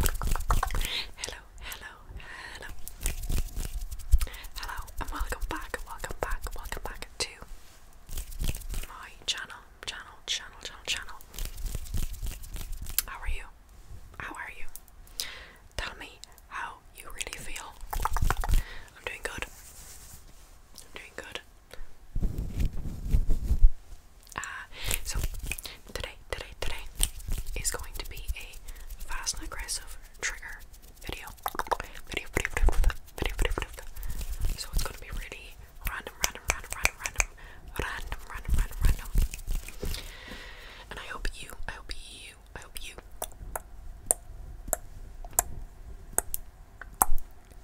Hello, hello, hello. Hello, and welcome back, welcome back, welcome back to my channel, channel, channel, channel, channel. How are you? How are you? Tell me how you really feel. I'm doing good. I'm doing good. Ah, so today, today, today is going to be a fast and aggressive trigger video. Video, video, video, video, video, video. So it's gonna be really random, random, random, random, random, random, random, random, random. And I hope you, I hope you, I hope you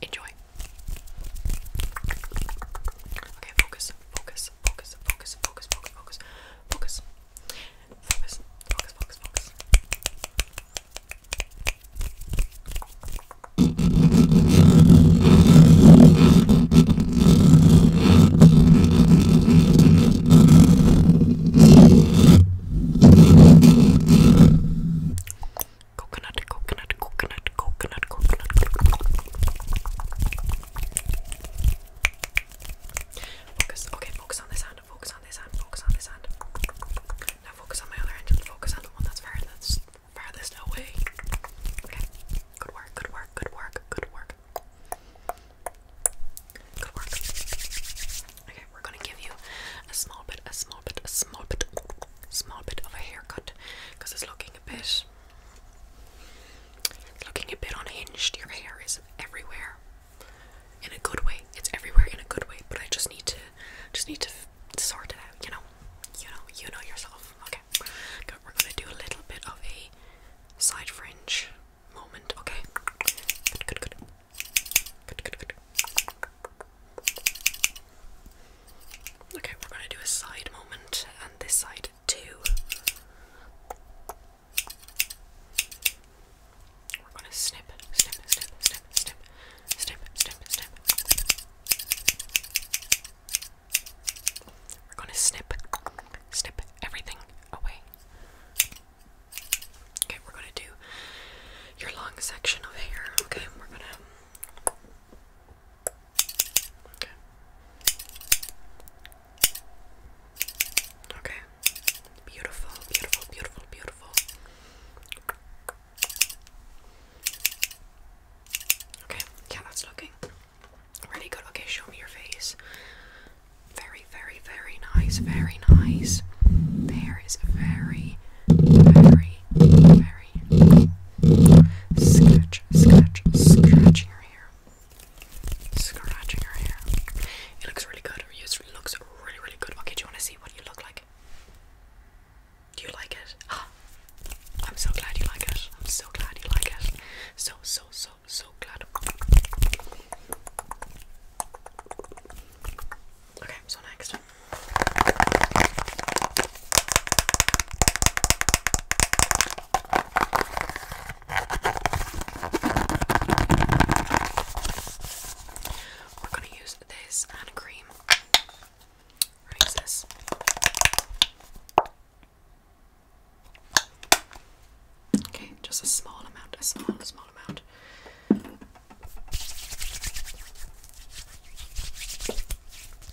enjoy. Okay, focus focus, focus, focus, focus, focus, focus, focus, focus, focus, focus, focus. Coconut, coconut, coconut, coconut, coconut, Focus. Okay, focus on this hand. Focus on this hand. Focus on this hand. Now focus on my other hand. Focus on the one that's farthest, farthest away. Okay. Good work. Good work. Good work. Good work. Good work. Okay, we're gonna give you a small bit, a small bit, a small bit, small bit of a haircut because it's looking a bit it's looking a bit unhinged. Your hair is everywhere. In a good way. It's everywhere in a good way, but I just need to just need to sort it out, you know. You know, you know yourself. Okay. Good. We're going to do a little bit of a side fringe moment, okay? Good, good, good. Good, good, good. Okay, we're going to do a side moment and this side we're gonna snip, snip, snip, snip, snip, snip, snip, snip. We're gonna snip, snip everything away. Okay, we're gonna do your long section of hair. Okay, we're gonna Okay. Beautiful, beautiful, beautiful, beautiful. Okay, yeah, that's looking really good. Okay, show me your face. Very, very, very nice, very nice. There is a very, very, very scratch, scratch, scratch your hair scratching her hair. It looks really good. It looks really, really good. Okay, do you want to see what you look like? Do you like it? I'm so glad you like it. I'm so glad you like it. So, so, so, so glad. Okay, so next. We're gonna use this and a cream. we this. Okay, just a small amount, a small, small amount.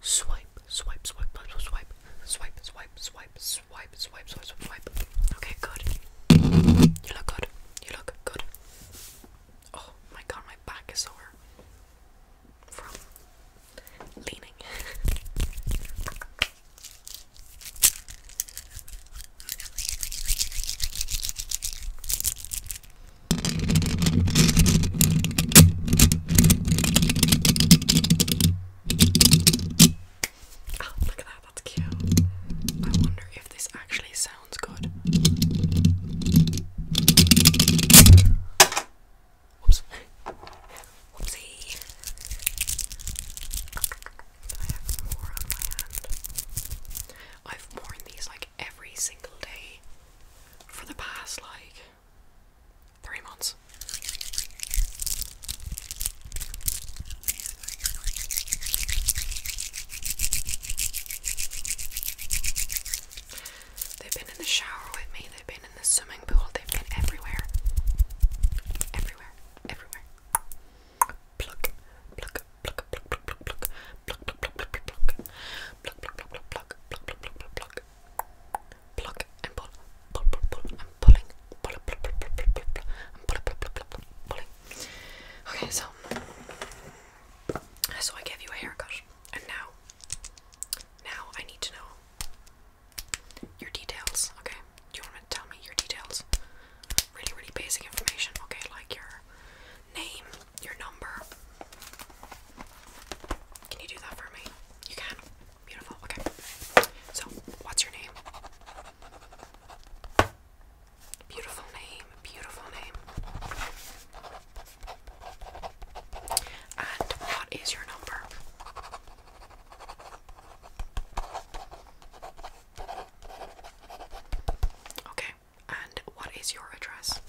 Swipe, swipe, swipe, swipe, swipe, swipe, swipe, swipe, swipe, swipe, swipe, swipe. Okay, good. You look good. You look good. Oh my god, my back is sore from leaning. Oh, look at that, that's cute. I wonder if this actually sounds good. Whoops. Whoopsie. I have more on my hand. I've worn these like every single day for the past like three months. They've been in the shower with me, they've been in the swimming pool, they've been everywhere. Everywhere, everywhere. Pluck, pluck, pluck, pluck, pluck, pluck, pluck, pluck, pluck, pluck, pluck, pluck, pluck, pluck, pluck, pluck, Okay, so, so I gave you a haircut, and now, now I need to know your details. Okay, do you want to tell me your details? Really, really basic information. Okay, like your name, your number. Can you do that for me? You can. Beautiful. Okay. So, what's your name? Beautiful name. Beautiful name. And what is your number? Okay. And what is your address?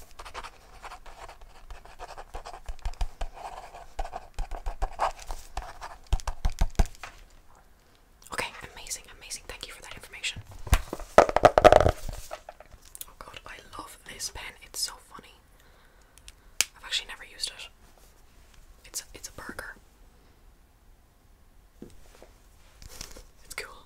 Okay, amazing, amazing. Thank you for that information. Oh god, I love this pen. It's so funny. I've actually never used it. It's a, it's a burger. It's cool.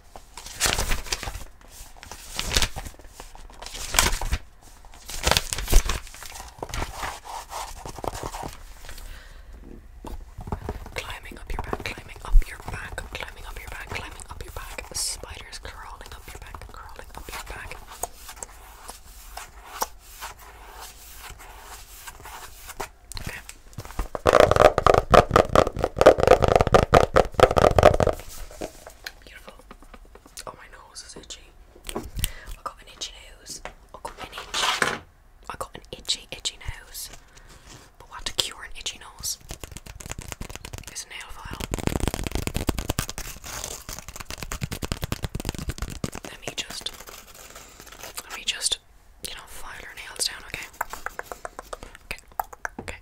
Climbing up your back, climbing up your back, climbing up your back, climbing up your back. Spiders crawling up your back, crawling up your back. Okay. Beautiful. Oh, my nose is itchy. I got an itchy nose. I got an itchy. I got an itchy, itchy nose. But what to cure an itchy nose? It's nail file. Let me just, let me just, you know, file your nails down, okay? Okay, okay,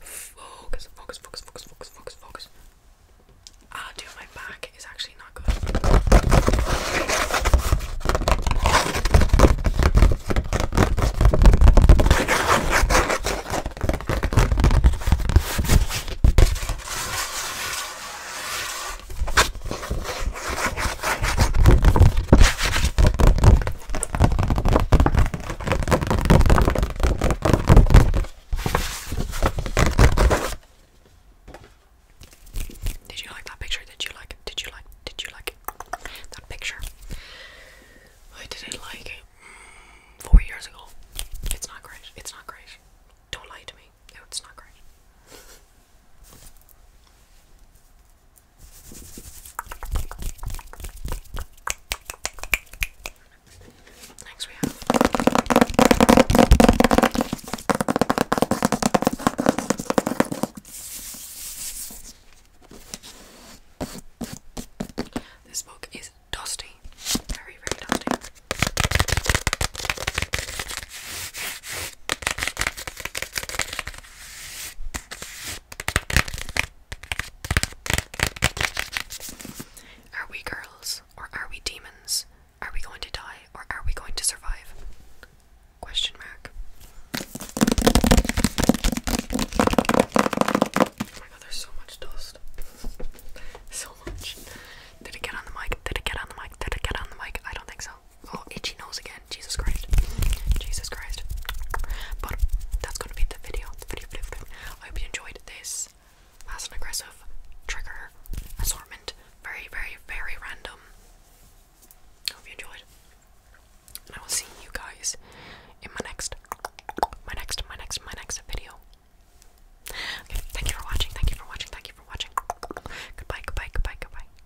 Focus, focus, focus, focus, focus, focus, Ah, dude, my back is actually not good. Did you like that picture? Did you like it? Did you like Did you like it? that picture? I didn't like it mm, four years ago. It's not great. It's not great. Don't lie to me. It's not great. Next we have this book is dusty, very, very dusty. Are we girls or are we demons? Are we going to die or are we going to survive? Question mark. Oh my god, there's so much dust. so much. Did it get on the mic? Did it get on the mic? Did it get on the mic? I don't think so. Oh, itchy nose again. Jesus Christ. Jesus Christ. But that's gonna be the video. The video, video, video. I hope you enjoyed this fast and aggressive trigger assortment. Very, very, very random. I hope you enjoyed. I will see you guys in my next my next my next my next video. Okay, thank you for watching, thank you for watching, thank you for watching. Goodbye, goodbye, goodbye, goodbye.